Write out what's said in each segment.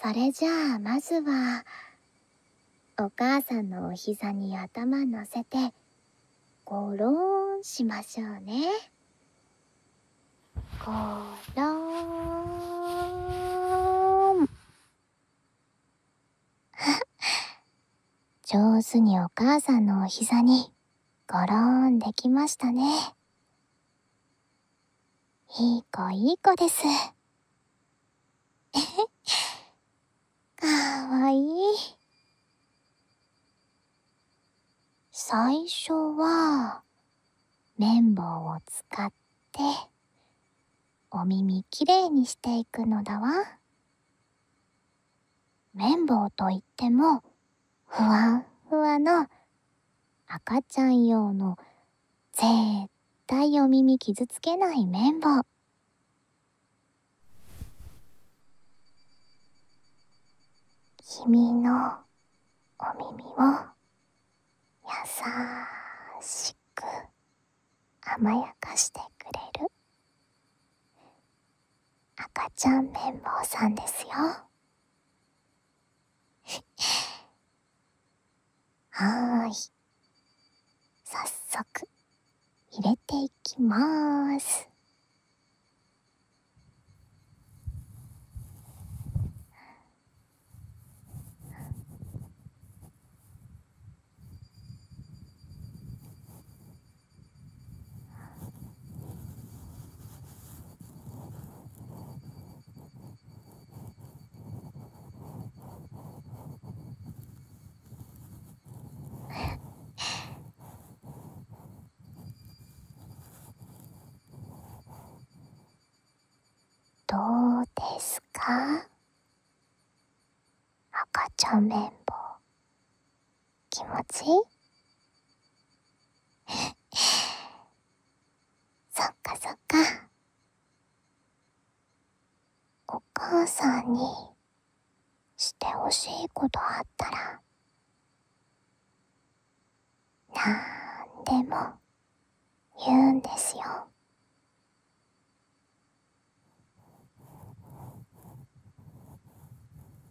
それじゃあまずはお母さんのお膝に頭乗せてゴロンしましょうねゴロン 上手にお母さんのお膝にごろーンできましたね。いい子いい子です。えへ。かわいい。最初は、綿棒を使って、お耳きれいにしていくのだわ。綿棒といっても、ふわふわの赤ちゃん用のぜったいお耳傷つけない綿棒。君のお耳をや優しく甘やかしてくれる。赤ちゃん綿棒さんですよ はーいそく入れていきまーすどうですか赤ちゃん綿棒気持ち そっかそっかお母さんにしてほしいことあったらなんでも言うんですよ。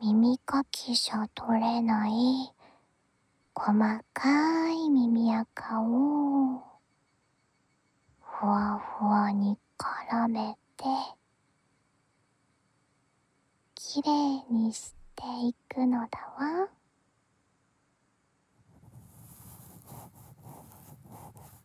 耳かきじゃ取れない細かい耳垢をふわふわに絡めてきれいにしていくのだわ。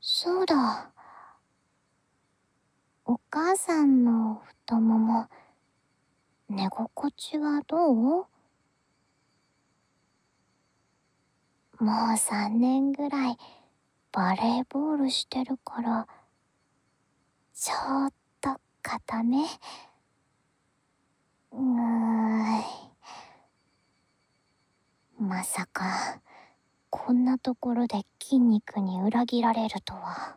そうだお母さんの太もも寝心地はどうもう3年ぐらいバレーボールしてるからちょっと硬めうーまさかこんなところで筋肉に裏切られるとは。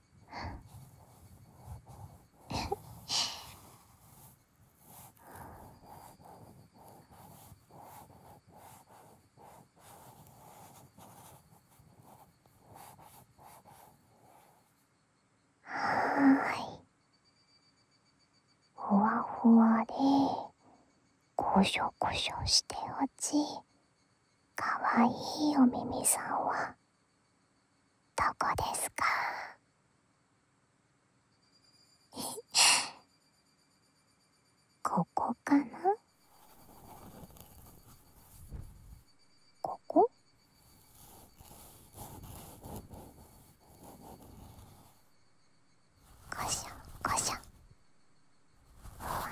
はいほわほわでこしょこしょしておちかわいいおみみさんはどこですか ここかなこここしょこしょふわふわ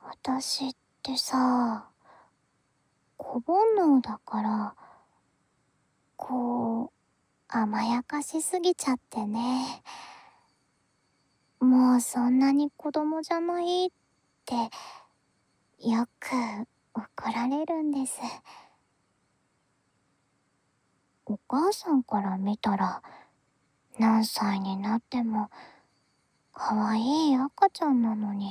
私ってさ子煩悩だからこう甘やかしすぎちゃってねもうそんなに子供じゃないってよく怒られるんですお母さんから見たら何歳になっても可愛い赤ちゃんなのに。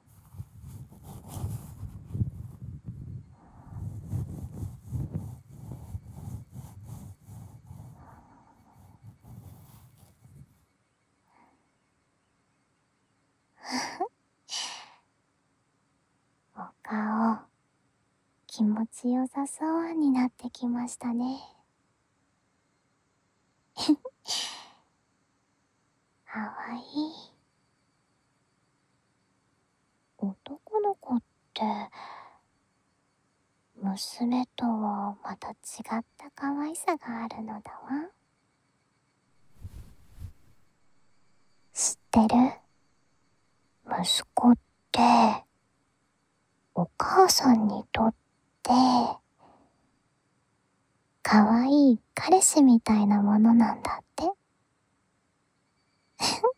お顔気持ちよさそうになってきましたね。かわいい男の子って娘とはまた違った可愛さがあるのだわ知ってる息子ってお母さんにとって可愛い彼氏みたいなものなんだって。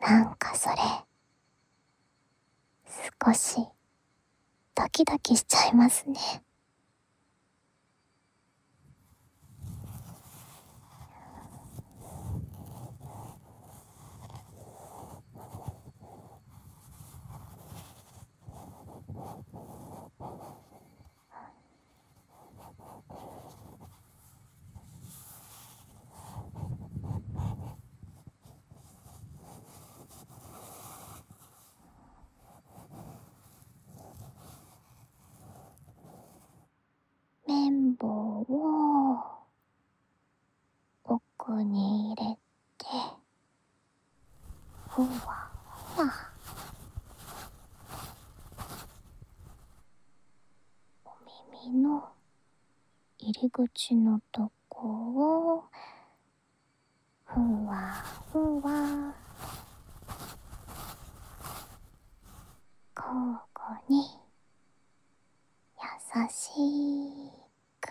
なんかそれ、少しドキドキしちゃいますね。綿棒を奥に入れて。てふわふわお耳の入り口のとこをふわふわ交互に優しく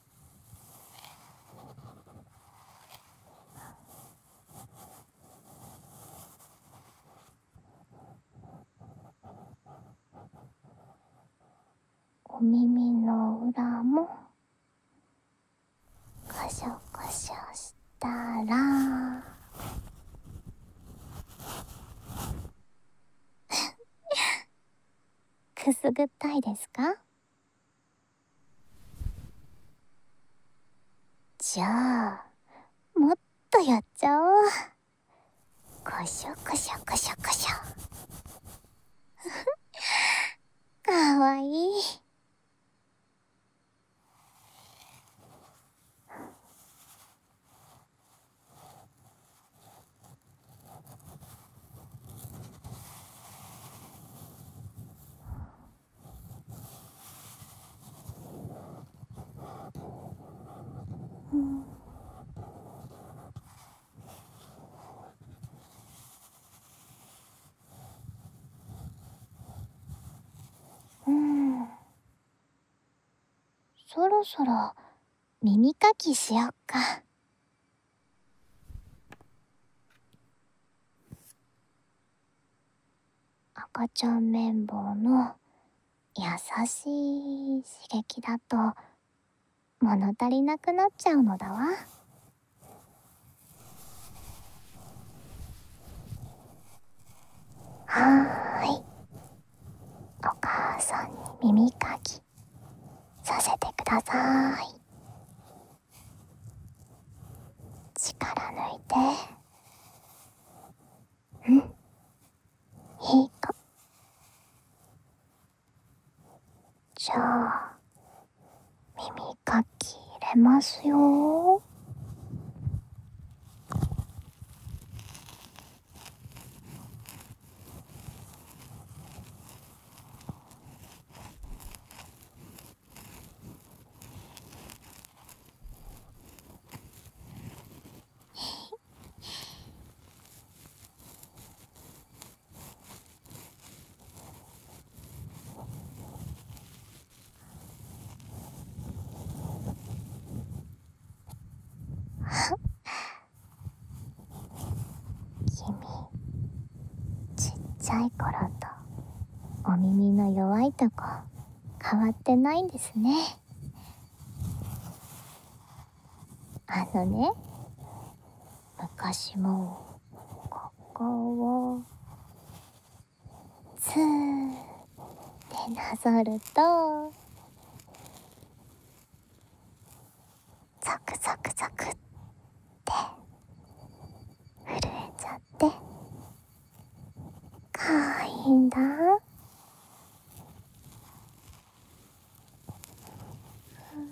お耳の裏もカシャカシャしたら くすぐったいですかじゃあもっとやっちゃおうこしょこしょこしょこしょ かわいい うんそろそろ耳かきしよっか。赤ちゃん綿棒の優しい刺激だと物足りなくなっちゃうのだわ。はーい。お母さんに耳かきさせてください。力抜いてうんいいかじゃあ耳かき入れますよ君 ちっちゃい頃とお耳の弱いとこ変わってないんですねあのね昔もここをずーってなぞるとザクザクザクって震えちゃってかわいいんだうん。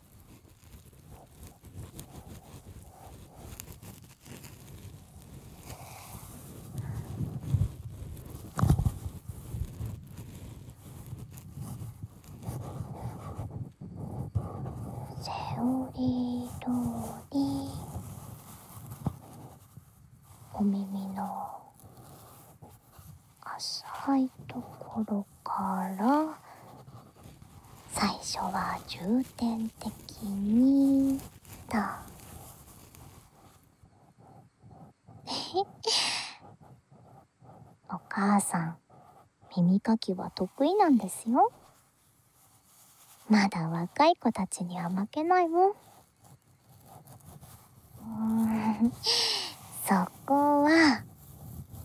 セオリー通りお耳の浅いところから最初は重点的にと。お母さん耳かきは得意なんですよまだ若い子たちには負けないわ。う んそこは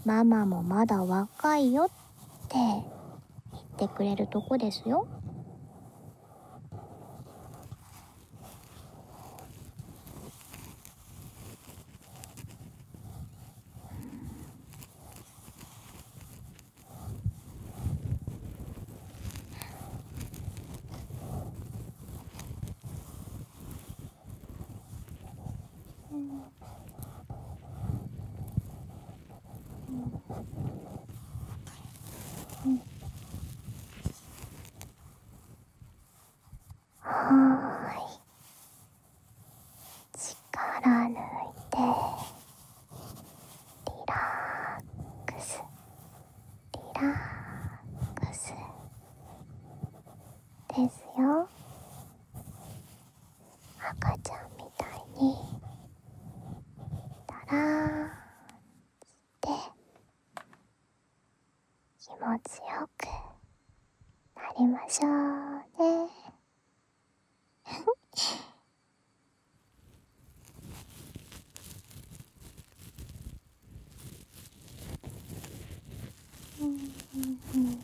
ママもまだ若いよって行ってくれるとこですよ。んうんはーい力抜いてリラックスリラックスですよ赤ちゃんみたいにたらーんて気持ちよくなりましょうね。うんうんうん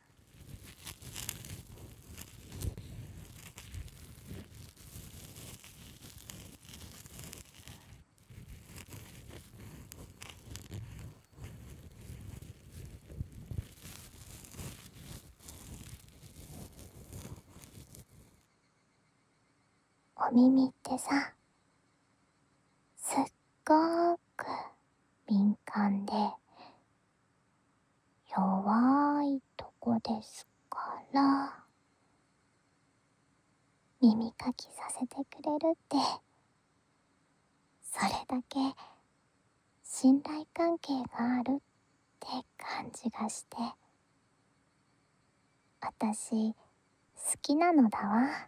お耳ってさすっごく敏感で弱いとこですから耳かきさせてくれるってそれだけ信頼関係があるって感じがして私好きなのだわ。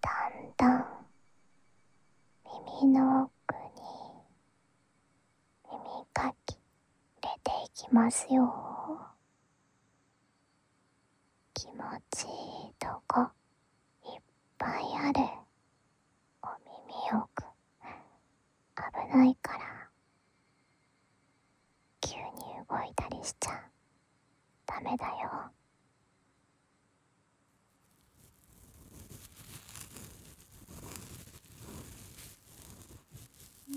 だんだん耳の奥に耳かき入れていきますよ気持ちいいとこいっぱいあるお耳奥危ないから急に動いたりしちゃう。ダメだようん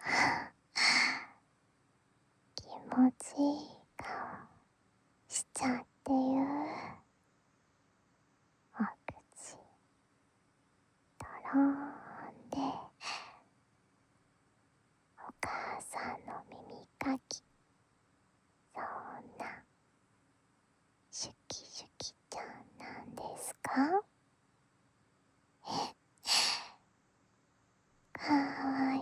は気持ちいい顔しちゃってう…お口とろんでお母さんの耳かきそんなシュキシュキちゃんなんですかえ かい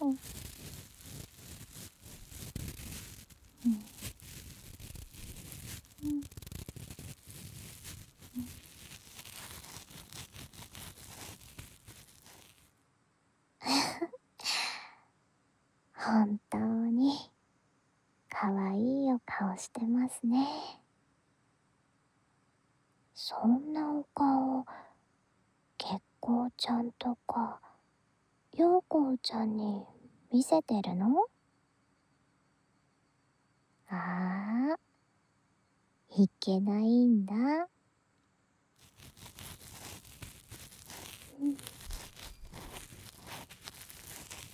うんうんうん本当にかわいいお顔してますねそんなお顔月光ちゃんとか陽光ちゃんに見せてるのああいけないんだ、うん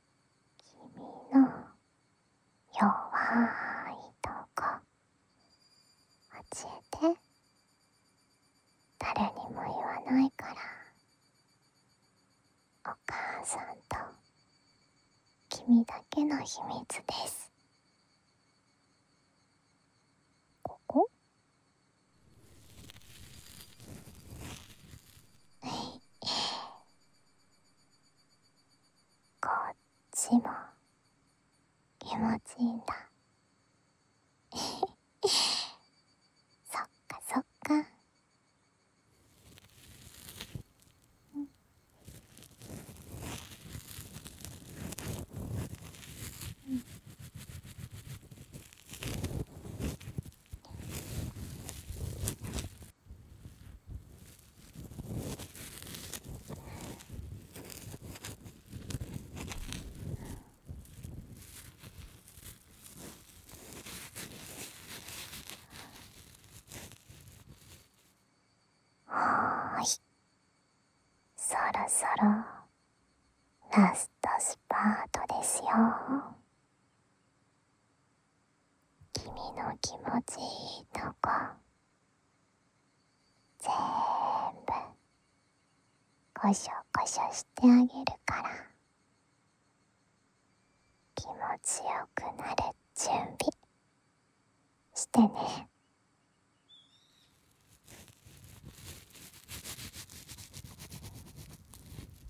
君の弱いとこ教えて誰にも言わないからお母さんと君だけの秘密ですここえいこっちも気持ちいいんだ そっかそっかううん。ん。はーいそろそろラストスパートですよ君の気持ちいいとこぜーんぶこしょこしょしてあげるから気持ちよくなる準備してね。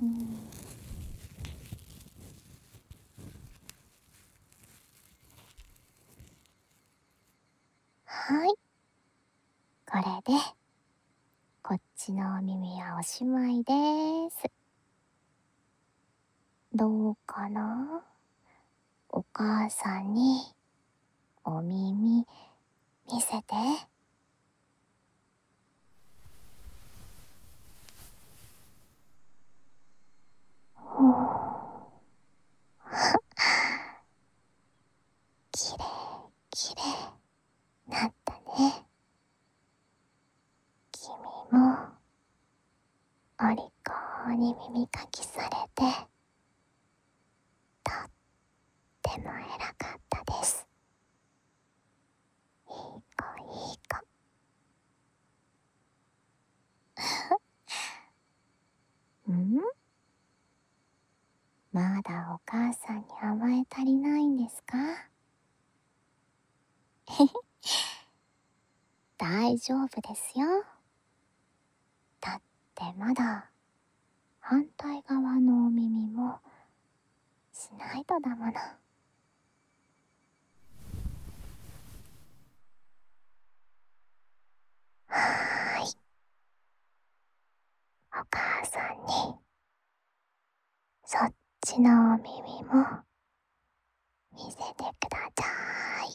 うんはいこれでこっちのお耳はおしまいですどうかなお母さんにお耳見せて。きれいきれいなったね君もお利口に耳かきされてとっても偉かったですいい子いいか うんまだお母さんに甘え足りないんですかへへ、大丈夫ですよだってまだ反対側のお耳もしないとだもの。はいお母さんにそっちのお耳も見せてください